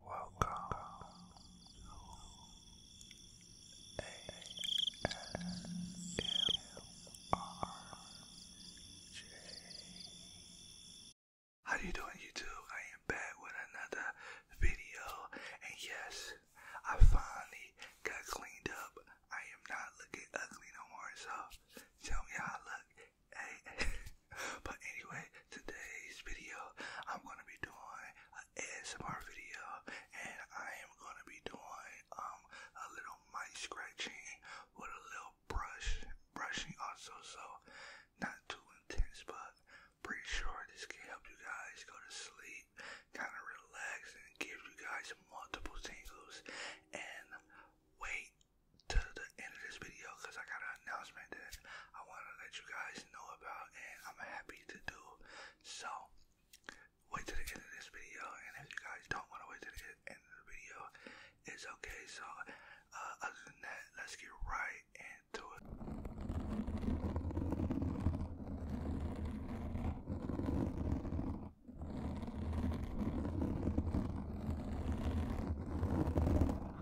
Welcome How you doing YouTube? I am back with another video and yes, I finally got cleaned up. I am not looking ugly no more, so tell me how I look. but anyway, today's video, I'm gonna be doing an S M R video, and I am gonna be doing um a little mic scratching with a little brush brushing also, so not too intense, but pretty sure this can help you guys go to sleep, kind of relax, and give you guys multiple tingles. And wait till the end of this video because I got an announcement that I want to let you guys know about, and I'm happy to do. So, wait to the end of this video, and if you guys don't want to wait to the end of the video, it's okay. So, uh, other than that, let's get right into it.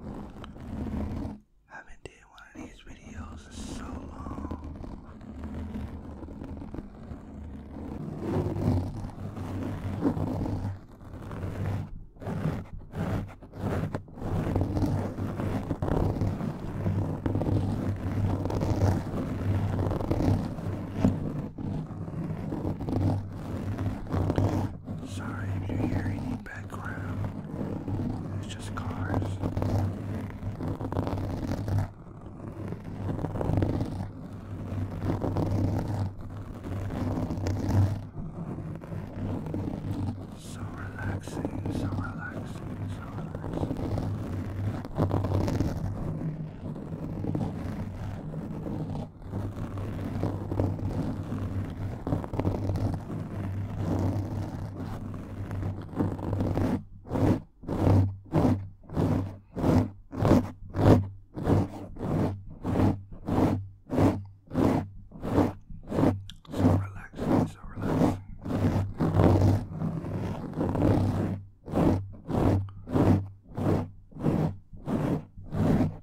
I haven't did one of these videos in so long. Sorry if you hear any background. It's just cars. So relaxing, so relaxing, so relaxing. So relaxing, so relaxing.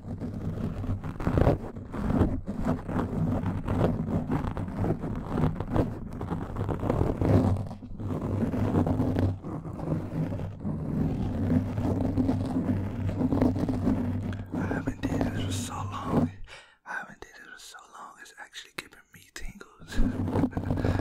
I haven't did this for so long. I haven't did this for so long. It's actually giving me tingles.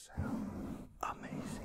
sound amazing.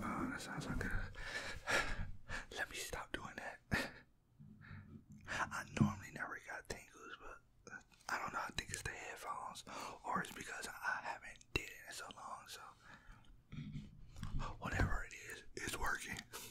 Oh, that sounds like Let me stop doing that. I normally never got tingles, but I don't know. I think it's the headphones, or it's because I haven't did it in so long. So whatever it is, it's working.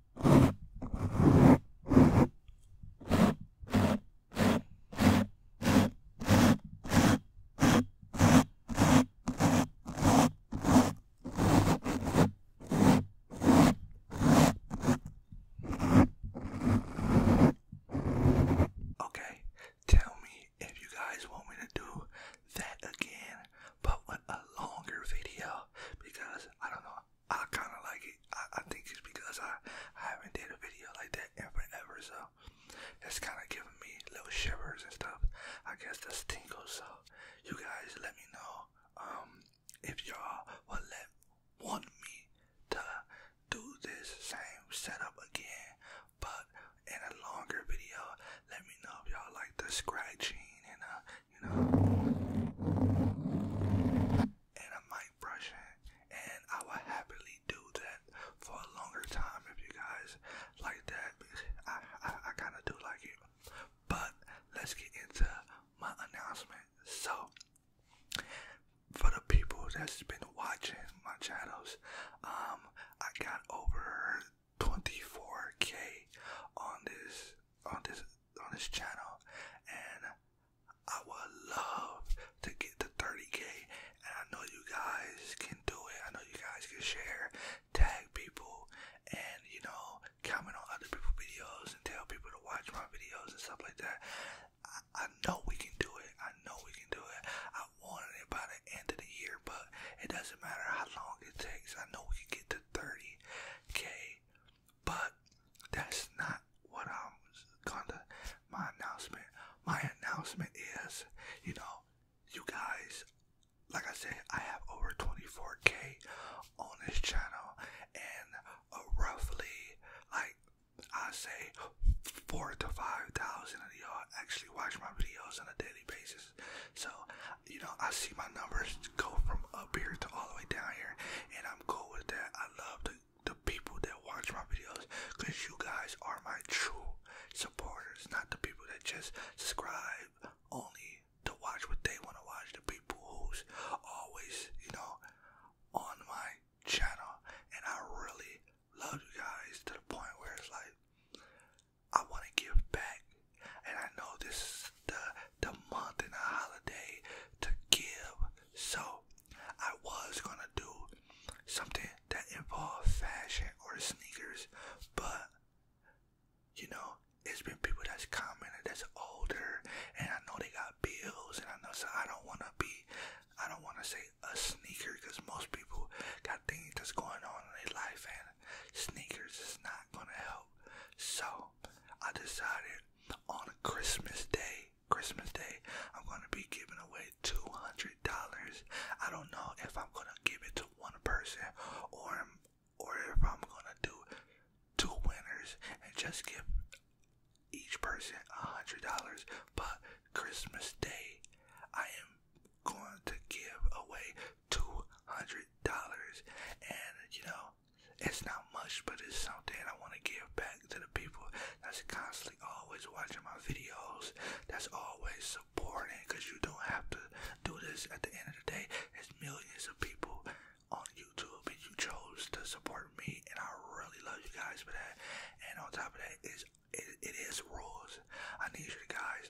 Okay, tell me if you guys want me to do that again, but with a longer video because I don't know. I kind of like it. I, think it's because I, I haven't did a video like that in forever, so that's kind of giving me little shivers and stuff. I guess that's tingles. So you guys, let me know um, if y'all would let want me to do this same setup again, but in a longer video. Let me know if y'all like the scratching and uh, you know. And I might brush it, and I will happily do that for a longer time if you guys like that. I, I, I kind of do like it. But let's get into my announcement. So, for the people that's been watching my channels, um, I got over 24k on this on this on this channel, and I would love to get to 30k. And I know you guys can do it. I know you guys can share, tag people, and you know comment on other people's videos and tell people to watch my videos and stuff like that. I, I know we can do it. I know we can do it. I wanted it by the end of the year, but it doesn't matter how long it takes. I know we can get to 30k but that's not what I'm gonna. My announcement. My announcement is, you know, you guys. Like I said, I have over 24k on this channel, and roughly, like I say, four to five thousand of y'all actually watch my videos on a daily basis. So you know, I see my numbers go from up here to all the way down here, and I'm cool with that. I love the, the people that watch my videos because you guys are my true supporters, not the people that just subscribe only to watch what they want to watch. The people who's always, you know, on my channel, and I really love you guys to the point where it's like, I want to give back and I know this is the, the month and a holiday to give. So I was gonna do something that involved fashion or sneakers, but you know, it's been people that's commented that's older and I know they got bills and I know so I don't wanna be I don't wanna say a sneaker because most people got things that's going on in their life and sneakers is not gonna help. So I decided on Christmas Day, Christmas Day, I'm gonna be giving away two hundred dollars. I don't know if I'm gonna give it to one person or or if I'm gonna do two winners and just give each person a hundred dollars. But Christmas Day, I am going to give away two hundred dollars, and you know, it's not much, but it's something I want to give back to the people that's constantly always watching my videos, that's always supporting, cause you don't have to do this. At the end of the day, it's millions of people on YouTube, and you chose to support me, and I really love you guys for that. And on top of that, is it, it is rules. I need you guys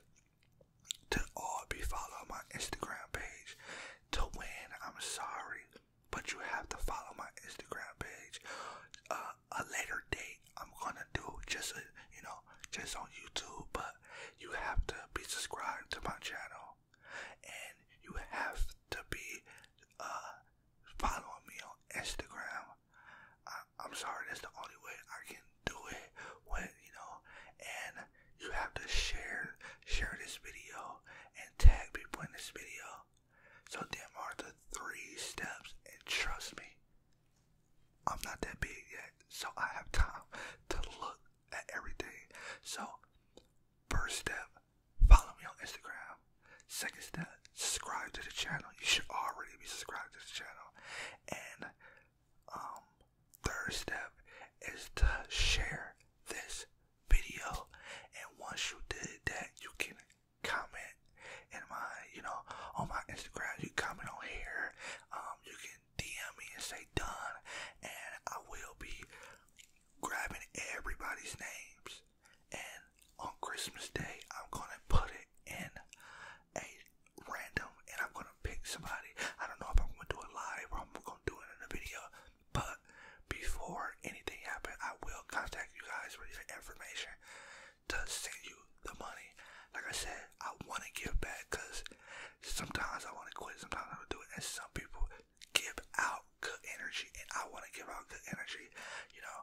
to all be follow my Instagram page to win. I'm sorry, but you have to follow my Instagram page. Uh, a later date, I'm gonna do just a, you know just on YouTube, but you have to be subscribed to my channel, and you have to be uh, following me on Instagram. I'm sorry, that's the only way I can do it when you know and you have to share share this video and tag people in this video. So them are the three steps and trust me, I'm not that big yet, so I have time to look at everything. So first step, follow me on Instagram. Second step, subscribe to the channel. You should already be subscribed to the channel. And um third step is to share this video and once you did that you can comment in my you know on my Instagram you comment on here um you can DM me and say done and I will be grabbing everybody's names and on Christmas Day I'm gonna put it in a random and I'm gonna pick somebody. I don't know if I'm gonna do it live or I'm gonna do it in a video, but before anything happens, I will contact you guys with your information to send you the money. Like I said, I wanna give back because sometimes I wanna quit, sometimes I wanna do it, and some people give out good energy, and I wanna give out good energy. You know,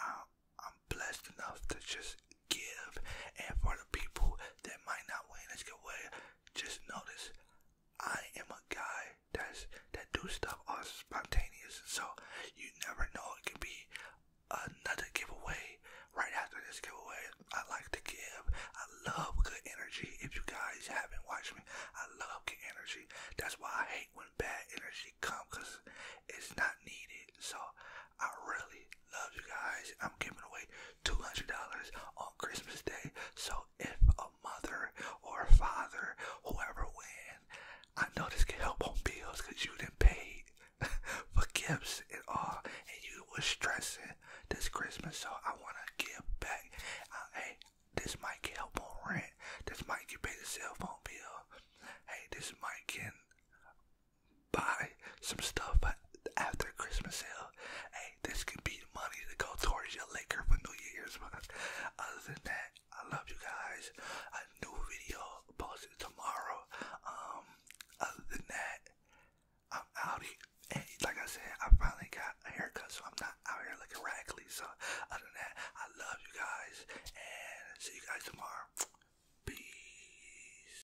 I'm blessed enough to just give. And for the people that might not win this giveaway, just notice I am a guy that's that do stuff all spontaneous. So you never know it could be another giveaway right after this giveaway. I like to give. I love good energy. If you guys haven't watched me, I love good energy. That's why I hate when bad energy comes because it's not needed. So I really love you guys. I'm giving away $200 on Christmas Day. So if a mother or a father, whoever wins, I know this can help on bills because you didn't pay for gifts and all, and you were stressing this Christmas. So I want to give back. Uh, hey, this might can help on rent. This might get pay the cell phone bill. Hey, this might can buy some stuff after Christmas sale. Hey, this could be the money to go towards your liquor for New Year's. But other than that, I love you guys. A new video posted tomorrow. Um, other than that, I'm out here. like I said, I finally got a haircut, so I'm not out here looking raggedly. So other than that, I love you guys, and see you guys tomorrow. Peace.